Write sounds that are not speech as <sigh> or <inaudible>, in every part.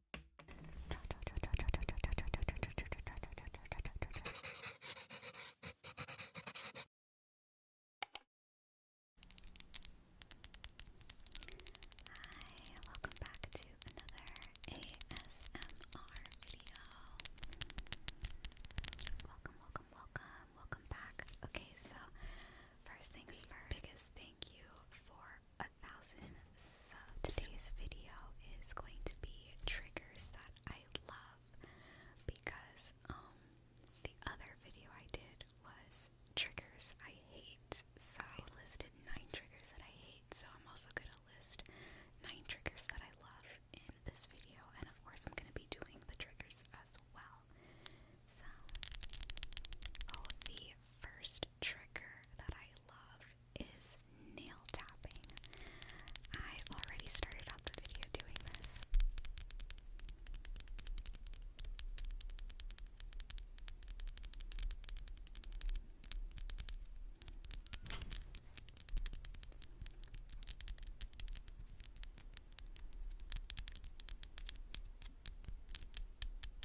Hi, welcome back to another ASMR video. Welcome, welcome, welcome, welcome back. Okay, so first things first, biggest thank you for a thousand Today's video is going to be triggers that I love because um the other video I did was triggers I hate. So I listed nine triggers that I hate. So I'm also gonna list nine triggers that I love in this video, and of course I'm gonna be doing the triggers as well. So, oh, the first trigger that I love is nail tapping. I already started off the video doing this.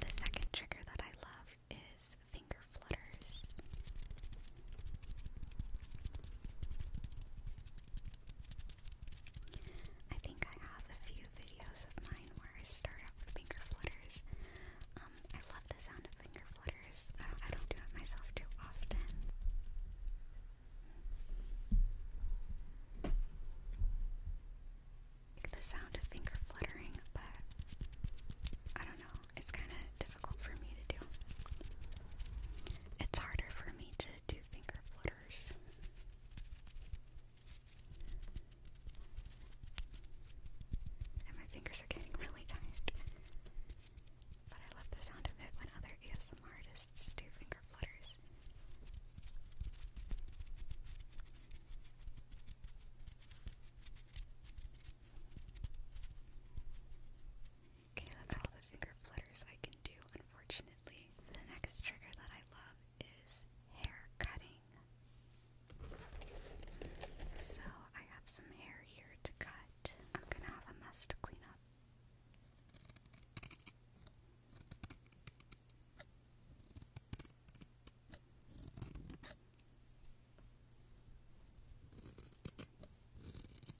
The second trigger that I love is finger flutters. I think I have a few videos of mine where I start out with finger flutters. Um, I love the sound of finger flutters. I don't do it myself too often. the sound of finger fluttering, but I don't know. It's kind of difficult for me to do. It's harder for me to do finger flutters. And my fingers are getting really tired. But I love the sound of it when other ASMR artists do finger flutters. Okay, that's all the finger flutters I can do, unfortunately. The next trigger that I love is hair cutting. So I have some hair here to cut. I'm gonna have a mess to clean up.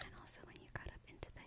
And also when you got up into the hair.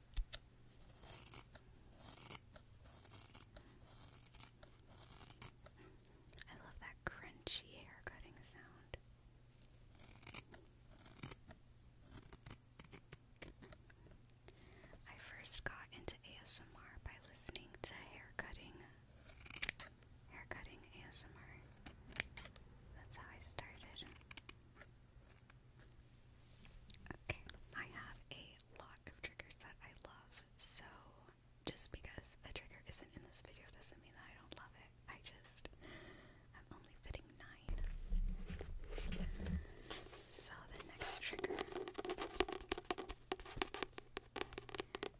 I love that crunchy hair cutting sound. I first got into ASMR by listening to hair cutting hair cutting ASMR. That's how I started. Okay, I have a lot of triggers that I love, so just because a trigger isn't in this video doesn't mean that I don't love it. I just, I'm only fitting nine. So the next trigger,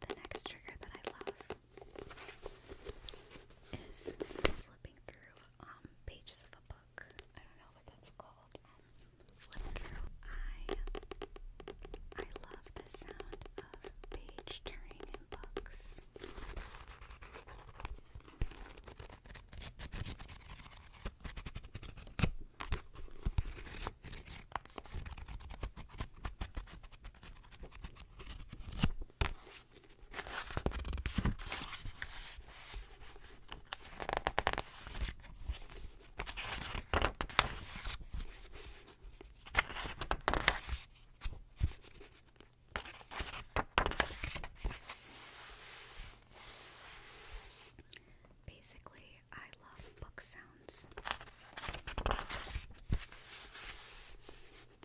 the next trigger that I love is flipping through um, pages of a book book. I don't know what that's called. Um, Flip through. I I love the sound of page turning in books. Basically, I love book sounds.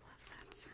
love, love that sound.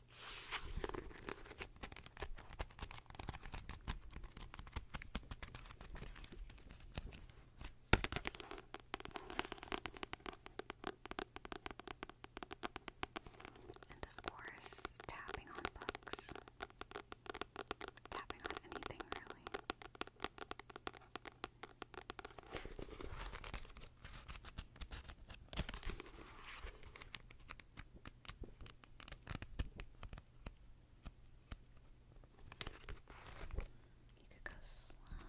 And of course, tapping on books. Tapping on anything, really. You could go slow. Good.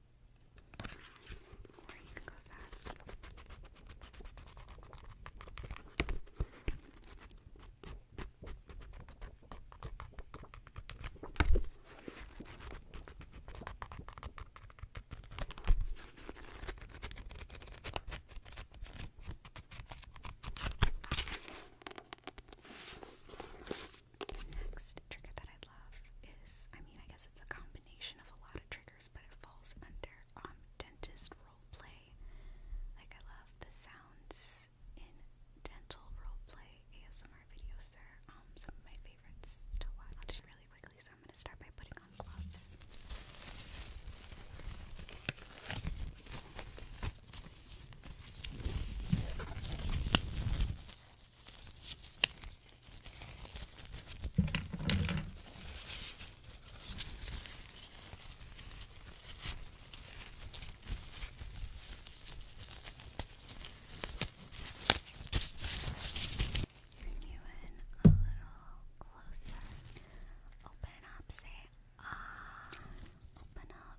Or you Next trigger that I love is I mean, I guess it's a combination of a lot of triggers but it falls under um, dentist role play. Like, I love the sounds in dental role play ASMR videos. They're um, some of my favorites to I'll do really quickly, so I'm going to start by putting on gloves. Bring you in a little closer. Open up, say ah. Open up.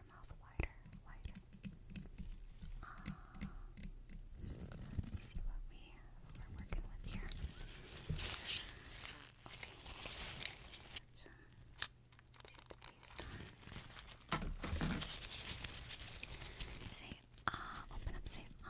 your mouth um, see what we are working with here. Okay, see the paste on. ah, open up, say uh.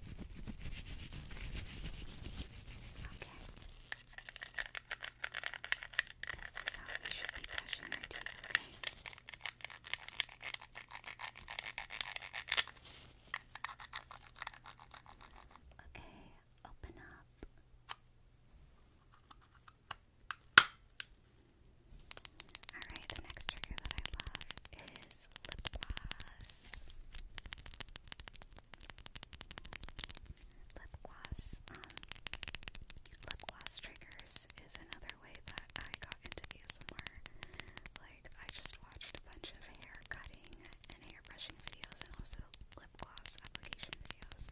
Okay. This is how we should be brushing our teeth, Okay, open up. Alright, the next trigger that I love is gloss, lip gloss, lip gloss. Um, lip gloss triggers is another way that I got into ASMR. Like, I just watched a bunch of hair cutting and hair brushing videos, and also lip gloss application videos.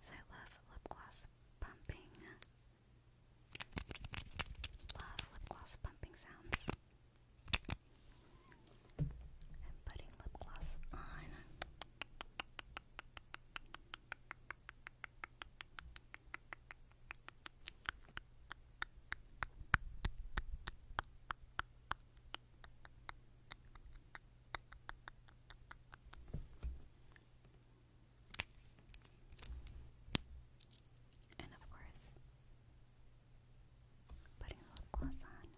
So I love lip gloss pumping. Love lip gloss pumping sounds. I'm putting lip gloss on. And of course, Putting lip gloss on.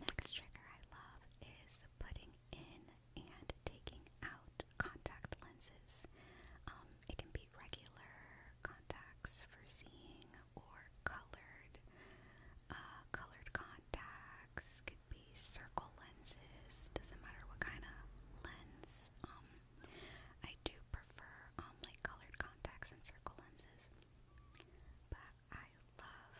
Next trigger I love is putting in and taking out contact lenses. Um, it can be regular contacts for seeing or colored. Uh, colored contacts could be circle lenses. Doesn't matter what kind of lens. Um, I do prefer um, like colored contacts and circle lenses, but I love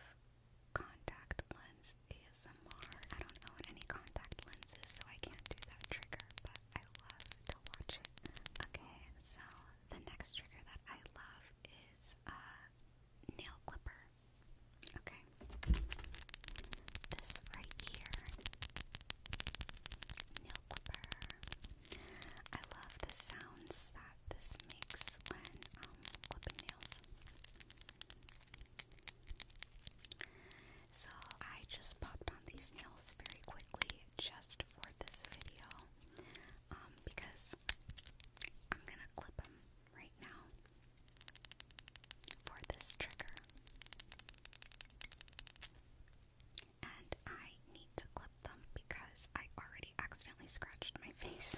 contact lens ASMR. I don't own any contact lenses, so I can't do that trigger, but I love to watch it. Okay, so the next trigger that I love is uh, nail clipper. Okay, this right here, nail clipper. I love the sounds that this makes when um, clipping nails. So I just popped on these nails very quickly just for this video um, because I'm gonna clip them right now for this trigger. And I need to clip them because I already accidentally scratched my <laughs> face.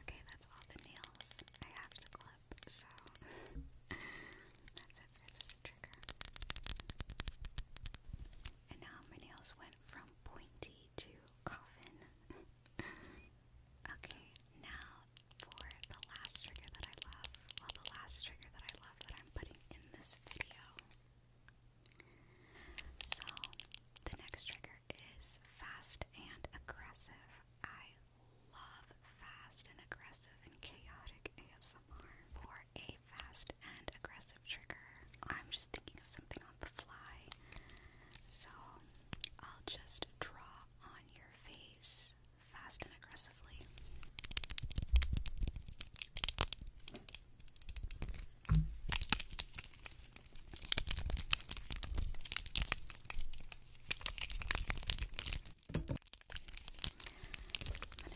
Okay, that's all the nails I have to clip, so that's it for this trigger. And now my nails went from pointy to coffin. <laughs> okay, now for the last trigger that I love. the last trigger that I love that I'm putting in this video. So, the next trigger is fast and aggressive. I love fast and aggressive and chaotic ASMR. For a fast and aggressive trigger, I'm just thinking of something on the fly. So, I'll just draw on your face fast and aggressively. I'm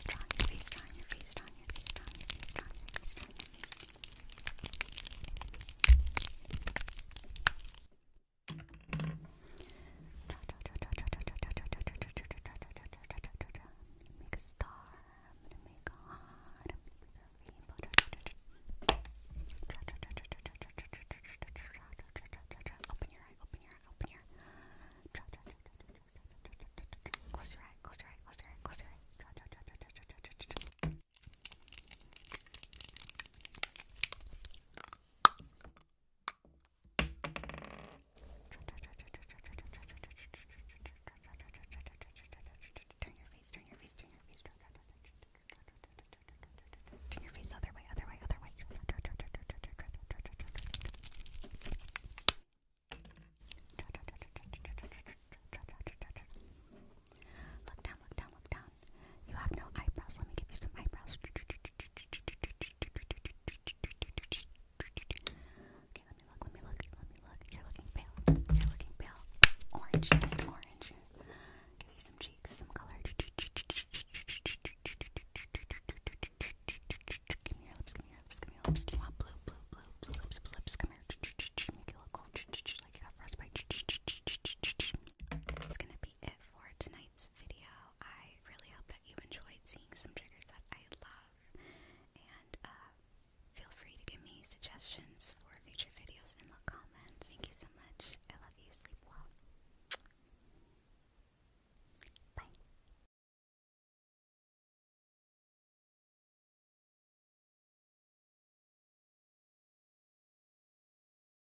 gonna draw on your face, draw on your face, draw on your face, draw on your face, draw on your face, draw on your face. Make a star. I'm gonna make a heart. I'm gonna make a rainbow. Open your eye. Open your eye. Open your eye. Close your eye. Close your eye. Close your eye. Close your eye. Turn your face, turn your face, turn your face. Turn your face other way, other way, other way. Look down, look down, look down. You have no eyebrows. Let me give you some eyebrows. Okay, let me look. Let me look. Let me look. You're looking pale. You're looking pale. Orange, orange. Give you some cheeks, some color. Give me your lips. Give me your lips. Give me your lips. Do you want blue, blue, blue, blue lips, blue lips? Come here. Make you look cool. Like you got frostbite. It's gonna be for tonight's video. I really hope that you enjoyed seeing some triggers that I love, and uh, feel free to give me suggestions for future videos in the comments. Thank you so much. I love you. Sleep well. Bye.